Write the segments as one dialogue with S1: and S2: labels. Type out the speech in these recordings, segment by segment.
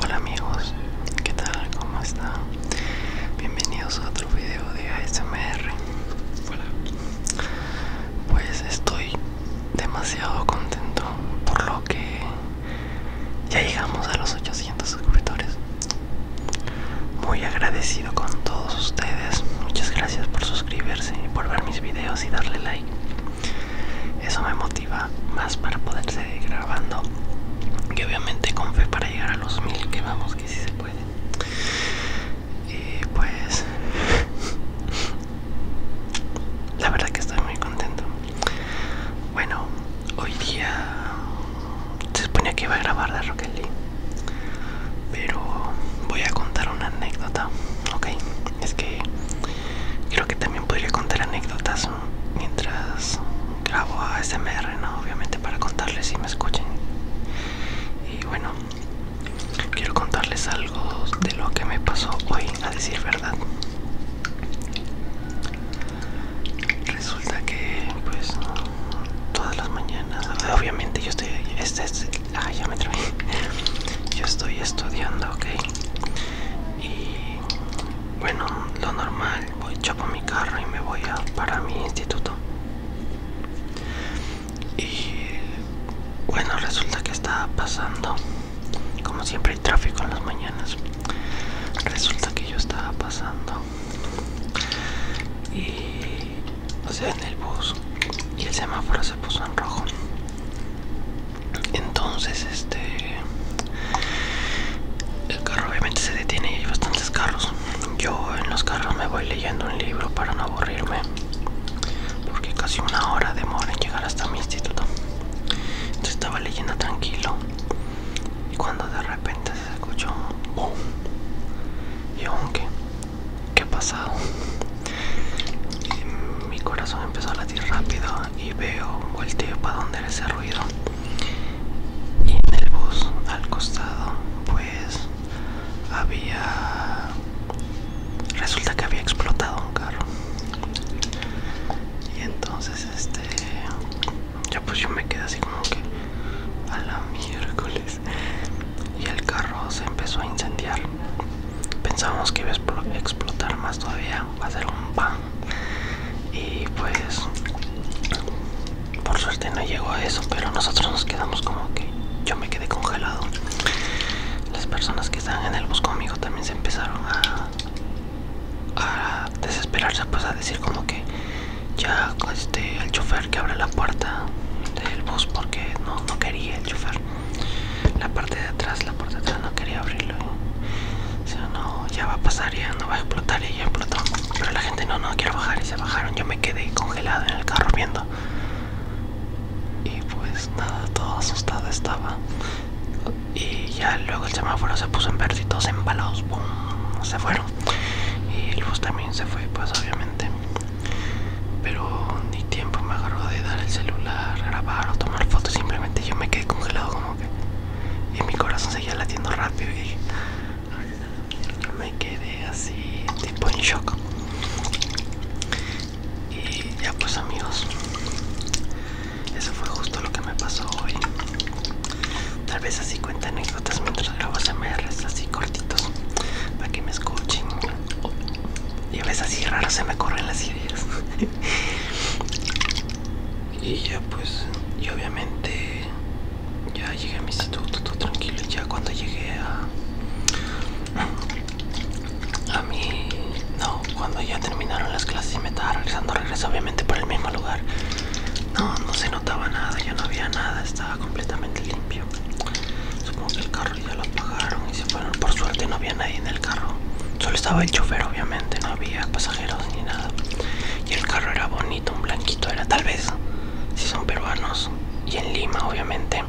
S1: Hola amigos, ¿qué tal? ¿Cómo está. Bienvenidos a otro video de ASMR. Pues estoy demasiado contento por lo que ya llegamos a los 800 suscriptores. Muy agradecido con todos ustedes. Muchas gracias por suscribirse y por ver mis videos y darle like eso me motiva más para poder seguir grabando y obviamente con fe para llegar a los mil que vamos que si se puede y pues la verdad que estoy muy contento bueno hoy día se suponía que iba a grabar de Rocket League pero voy a contar una anécdota ok es que creo que también podría contar anécdotas mientras grabo a SMR, ¿no? Obviamente para contarles si me escuchen. Y bueno, quiero contarles algo de lo que me pasó hoy, a decir verdad. Resulta que pues todas las mañanas, obviamente yo estoy, este, este Ah, ya me traí. Yo estoy estudiando, ok. Y bueno, lo normal, voy chopo mi carro y me voy a, para mi instituto. Y bueno, resulta que estaba pasando, como siempre hay tráfico en las mañanas. Resulta que yo estaba pasando y o sea en el bus y el semáforo se puso en rojo entonces este el carro obviamente se detiene y hay bastantes carros yo en los carros me voy leyendo un libro para no aburrirme porque casi una hora demora en llegar hasta mi instituto entonces estaba leyendo tranquilo y cuando de repente se escuchó un boom y aunque ¿Qué ha pasado? Mi corazón empezó a latir rápido y veo, volteo para donde era ese ruido. Y en el bus al costado, pues había. Resulta que había explotado un carro. Y entonces, este. Ya pues yo me quedé así como que. A la miércoles y el carro se empezó a incendiar. Pensábamos que iba a explotar más todavía, va a ser un pan. Y pues, por suerte no llegó a eso, pero nosotros nos quedamos como que yo me quedé congelado. Las personas que estaban en el bus conmigo también se empezaron a, a desesperarse, pues a decir como que ya este, el chofer que abre la puerta del bus porque no, quería el chofer la parte de atrás la puerta de atrás no quería abrirlo o sea no ya va a pasar ya no va a explotar y ya explotó pero la gente no no quiero bajar y se bajaron yo me quedé congelado en el carro viendo y pues nada todo asustado estaba y ya luego el semáforo se puso en verde y todos embalados se fueron y el bus también se fue pues obviamente pero ni tiempo me agarró de dar el celular, grabar o tomar fotos simplemente yo me quedé congelado como que y mi corazón seguía latiendo rápido y me quedé así tipo en shock y ya pues amigos eso fue justo lo que me pasó hoy. Tal vez así cuenta anécdotas mientras grabo CMRs así cortitos para que me escuchen. y a veces así raro se me corren las ideas. y ya pues, y obviamente ya llegué a mi instituto todo tranquilo. Y ya cuando llegué a a mi no cuando, ya terminaron las clases y me estaba regresando, regreso obviamente por el mismo lugar. No, no se notaba nada, ya no había nada, estaba completamente limpio. Supongo que el carro ya lo apagaron y se fueron. Por suerte no había nadie en el carro. Solo estaba el chofer, obviamente, no había pasajeros ni nada. Y el carro era bonito, un blanquito era, tal vez, si son peruanos. Y en Lima, obviamente,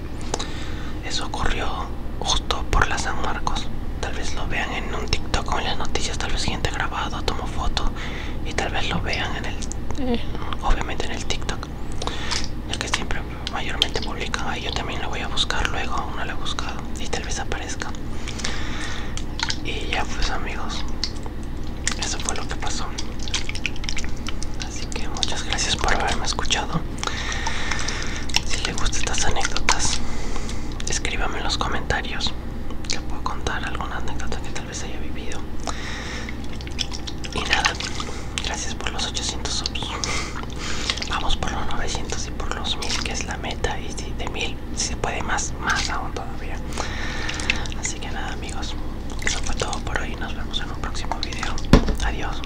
S1: eso ocurrió justo por la San Marcos. Tal vez lo vean en un TikTok con las noticias, tal vez gente grabado, tomo foto y tal vez lo vean en el, eh. obviamente en el TikTok, ya que siempre mayormente publican. Ahí yo también lo voy a buscar luego, aún no lo he buscado y tal vez aparezca. Y ya pues amigos, eso fue lo que pasó. Así que muchas gracias por haberme escuchado. Si le gustan estas anécdotas, escríbame en los comentarios. Te puedo contar alguna anécdota que tal vez haya vivido. Y nada, gracias por los 800 subs. Vamos por los 900 y por los 1000, que es la meta. Y de 1000, si se puede más, más aún todavía. Así que nada, amigos, eso fue todo por hoy. Nos vemos en un próximo video. Adiós.